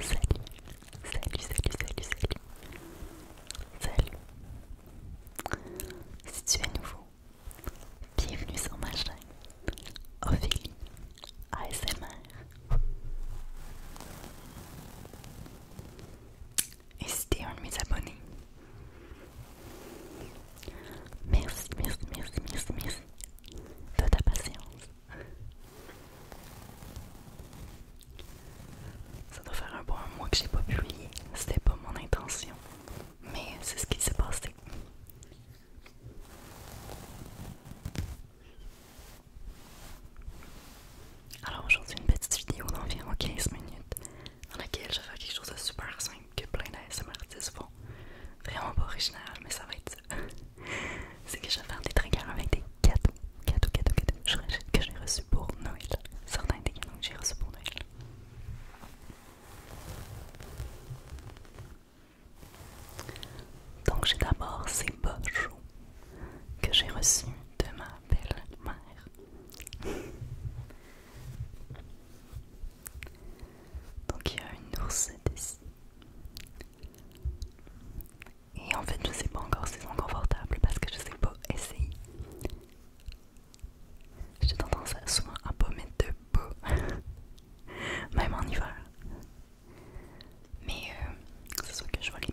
salut, salut, salut, salut. Salut. salut. Si tu es nouveau, bienvenue sur ma chaîne Ophélie ASMR. Et si es un de mes abonnés, Merci, merci, merci, merci, merci de ta patience. Ça doit faire un bon mois que j'ai pas publié. C'était pas mon intention. Mais c'est ce qui s'est passé. Alors aujourd'hui, une petite vidéo d'environ 15 minutes dans laquelle je vais faire quelque chose de super simple que plein d'ASMR artistes font. Vraiment pas original, mais ça va être C'est que je vais faire des triggers avec des cadeaux, cadeaux, cadeaux, que j'ai reçus pour Noël. Certains des cadeaux que j'ai reçus pour Noël. Donc j'ai d'abord ces beaux chauds que j'ai reçus de ma belle-mère. Donc il y a une oursette ici. Et en fait, je sais pas encore si c'est confortable parce que je sais pas essayer. J'ai tendance à souvent à pas mettre de peau, même en hiver. Mais euh, ce soit que je vois les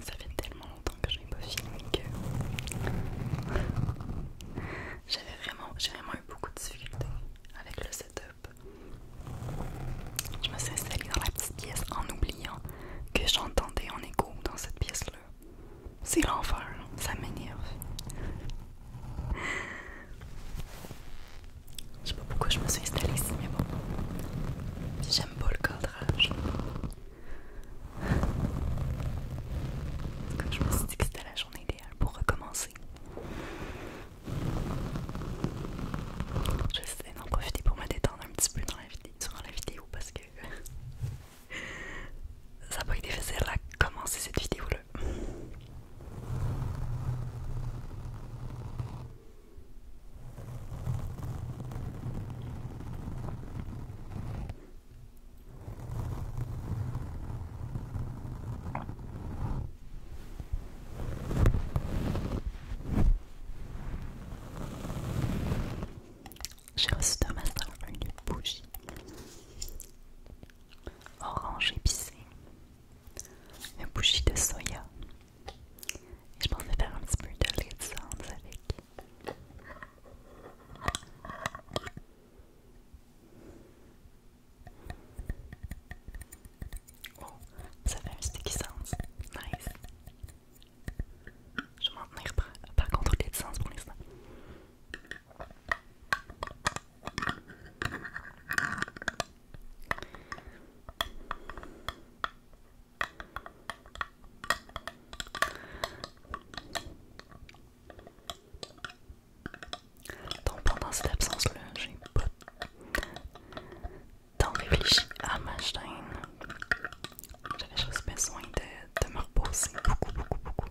Ça fait tellement longtemps que je n'ai pas filmé que j'avais vraiment, vraiment eu beaucoup de difficultés avec le je me suis installée dans la petite pièce en oubliant que j'entendais en écho dans cette pièce-là. C'est l'enfer, ça m'énerve. Je sais pas pourquoi je me suis installée ici, mais bon. J'aime pas le cadrage. Comme je me suis dit que c'était la journée idéale pour recommencer. Je vais d'en profiter pour me détendre un petit peu dans la durant la vidéo parce que ça pourrait pas été facile à commencer cette vidéo-là. J'ai reçu de ma soeur une bougie orange épicée, une bougie de soya. Et je pensais faire un petit peu de lait de avec. Oh, ça fait un sticky sens. Nice. Je vais m'en tenir par, par contre de sens pour l'instant. Donc pendant cette absence-là, j'ai pas tant réfléchi à ma chaîne. J'avais juste besoin de, de me reposer beaucoup, beaucoup, beaucoup.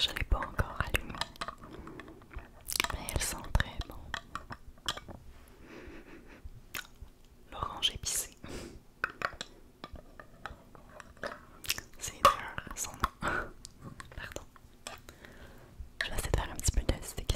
Je n'ai pas encore allumé, mais elle sent très bon. L'orange épicé. C'est une son nom. Pardon. Je laisse faire un petit peu de sticky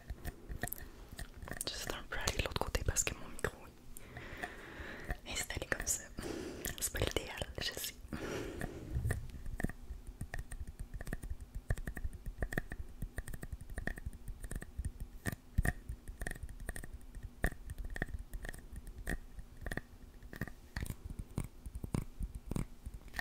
pas, un peu aller de l'autre côté parce que mon micro est installé comme ça. C'est pas l'idéal, je sais.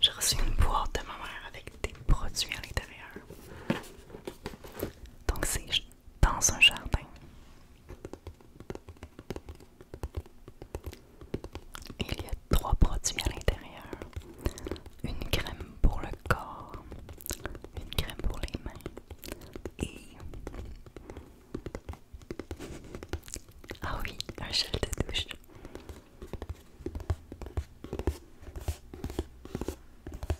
J'ai reçu une boîte de ma mère avec des produits à l'intérieur. Donc c'est dans un jardin. Il y a trois produits à l'intérieur. Une crème pour le corps, une crème pour les mains et... Ah oui, un gel de douche.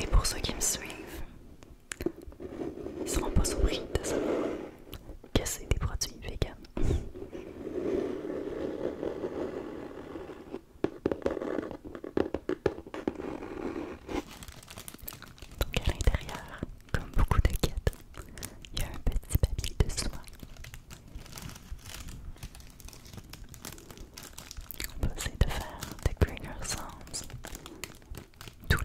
Et pour ceux qui me suivent, ils seront pas surpris de savoir que c'est des produits vegan. Donc à l'intérieur, comme beaucoup de il y a un petit papier de soie On peut essayer de faire sounds tout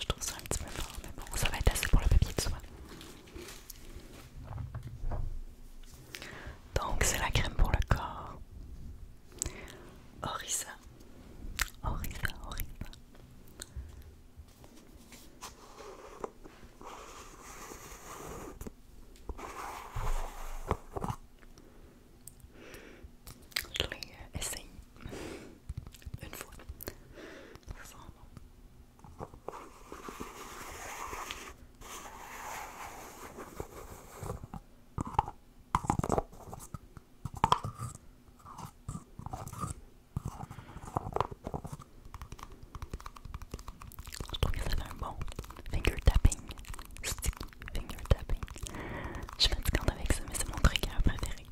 Je trouve ça un petit peu fort, mais bon, ça va être assez pour le papier de soie. Donc c'est la crème pour le corps. Orisa, Orisa, Orisa. Je l'ai une fois. Je trouve que ça fait un bon finger tapping. Sticky finger tapping. Je suis fatigante avec ça, mais c'est mon trigger à préféré.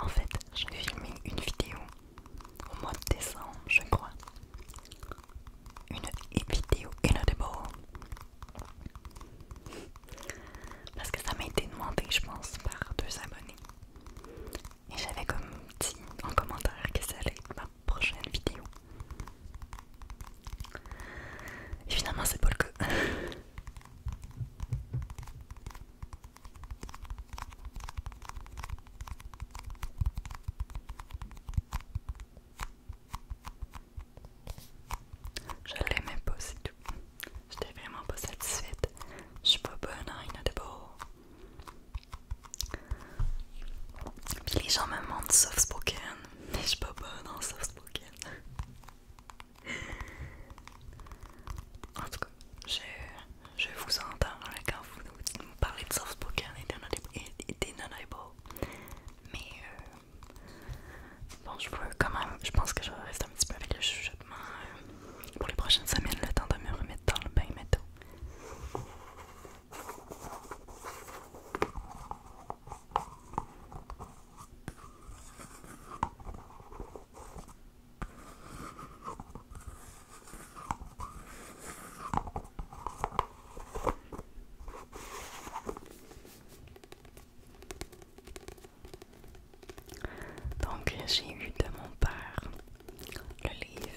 En fait, vais filmer une vidéo au mois de décembre, je crois. Une vidéo inaudible. Parce que ça m'a été demandé, je pense, par deux abonnés. Et j'avais comme dit en commentaire que ça allait être ma prochaine vidéo. finalement c'est pas le cas. Je l'aimais pas c'est tout. J'étais vraiment pas satisfaite. Je suis pas bonne en inaudible. Puis les gens me demandent soft spoken, mais je suis pas bonne en soft spoken. En tout cas, je, je vous entends quand vous, vous, parlez de soft spoken et d'inaudible. Mais euh, bon, je peux quand même, je pense que je vais rester un petit peu avec le chuchotement euh, pour les prochaines semaines, le temps de me remettre dans le bain métaux. Donc j'ai eu de mon père le livre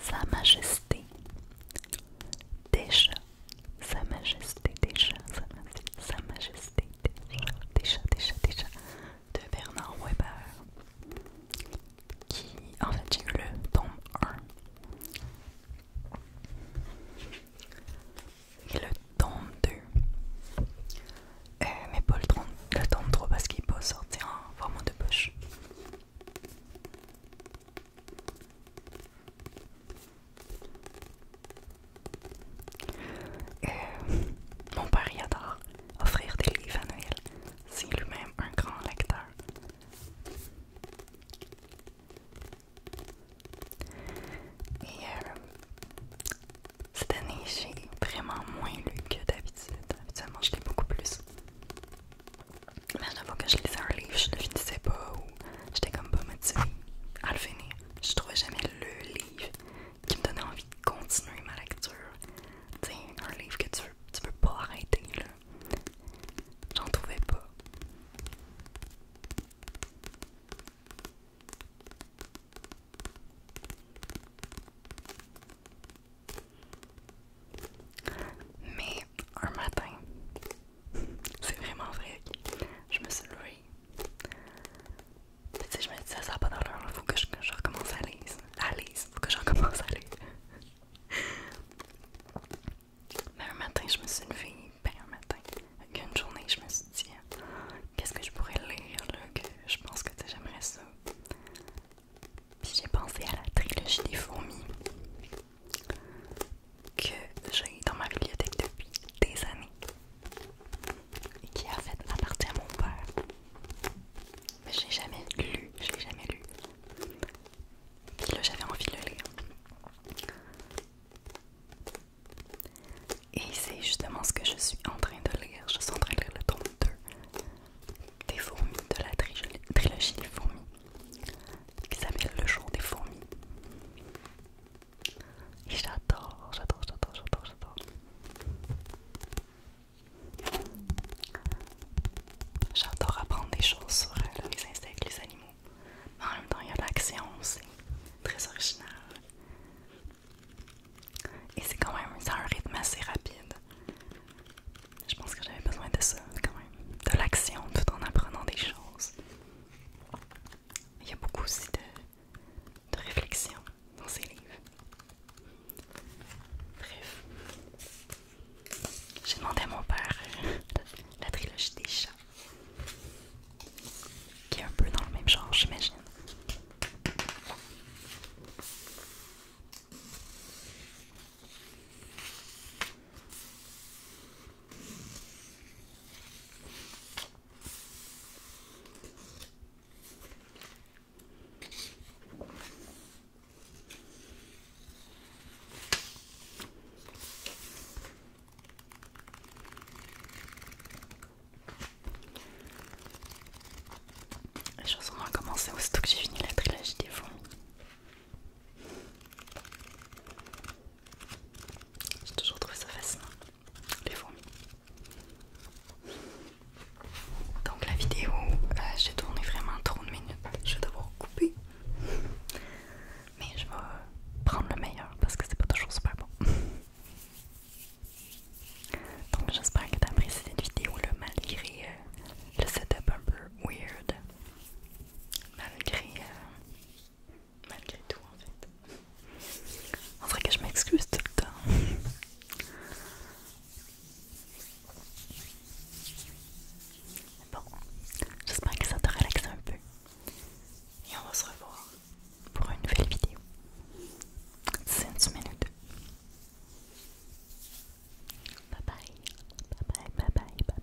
Sa Majesté déjà sa Majesté déjà, Sa, Majesté déjà déjà déjà déjà de Bernard Weber, qui en fait j'ai le tome 1. Et le tome 2. Euh, mais pas le tome, 3 parce qu'il peut sortir vraiment en de poche. Euh, mon père y adore offrir des livres à Noël. C'est lui-même un grand lecteur. Et euh, cette année, j'ai vraiment moins lu que d'habitude. Habituellement, je lis beaucoup plus. Mais fois que je lisais un livre, je ne finissais pas j'étais comme pas motivée à le finir. Je trouvais jamais le livre qui me donnait envie de continuer ma lecture. Tiens, un livre que tu, tu peux pas arrêter, là. J'en trouvais pas. Mais un matin, c'est vraiment vrai, je me suis levée je me disais, ça n'a pas d'heure, il faut que je, recommence à lire, À faut que je recommence à lire. Mais un matin, je me suis levée, ben un matin, une journée, je me suis dit, qu'est-ce que je pourrais lire, que je pense que j'aimerais ça. Puis j'ai pensé à la trilogie des fourmis que j'ai dans ma bibliothèque depuis des années et qui en fait appartient à mon père. Mais je l'ai jamais lu, je l'ai jamais lu. Et là, j'avais envie de le lire. Et c'est justement ce que je suis en train de lire. Je suis en train de lire le tome 2 des fourmis, de la trilogie des fourmis, qui s'appelle Le jour des fourmis. Et j'adore, j'adore, j'adore, j'adore, j'adore. J'adore apprendre des choses sur euh, les insectes, les animaux. Mais en même temps, il y a l'action, c'est très original. Et c'est quand même ça un rythme assez rapide. Je pense que j'avais besoin de ça, quand même. De l'action tout en apprenant des choses. Il y a beaucoup aussi de de réflexion dans ses livres. Bref, j'ai demandé à mon père la, la trilogie des chats, qui est un peu dans le même genre, j'imagine. La chanson a commencé aussitôt que j'ai fini la trilogie des fonds. J'ai toujours trouvé ça facile les fourmis. Donc la vidéo, euh, j'ai tourné vraiment trop de minutes. Je vais devoir couper. Mais je vais prendre le meilleur parce que c'est pas toujours super bon. Donc j'espère que t'as apprécié cette vidéo là malgré euh, le setup un peu weird. Malgré euh, malgré tout en fait. On ferait que je m'excuse tout le temps. Bon, j'espère que ça te relaxe un peu. Et on va se revoir pour une nouvelle vidéo. C'est une semaine Bye bye, bye bye, bye bye, bye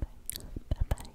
bye.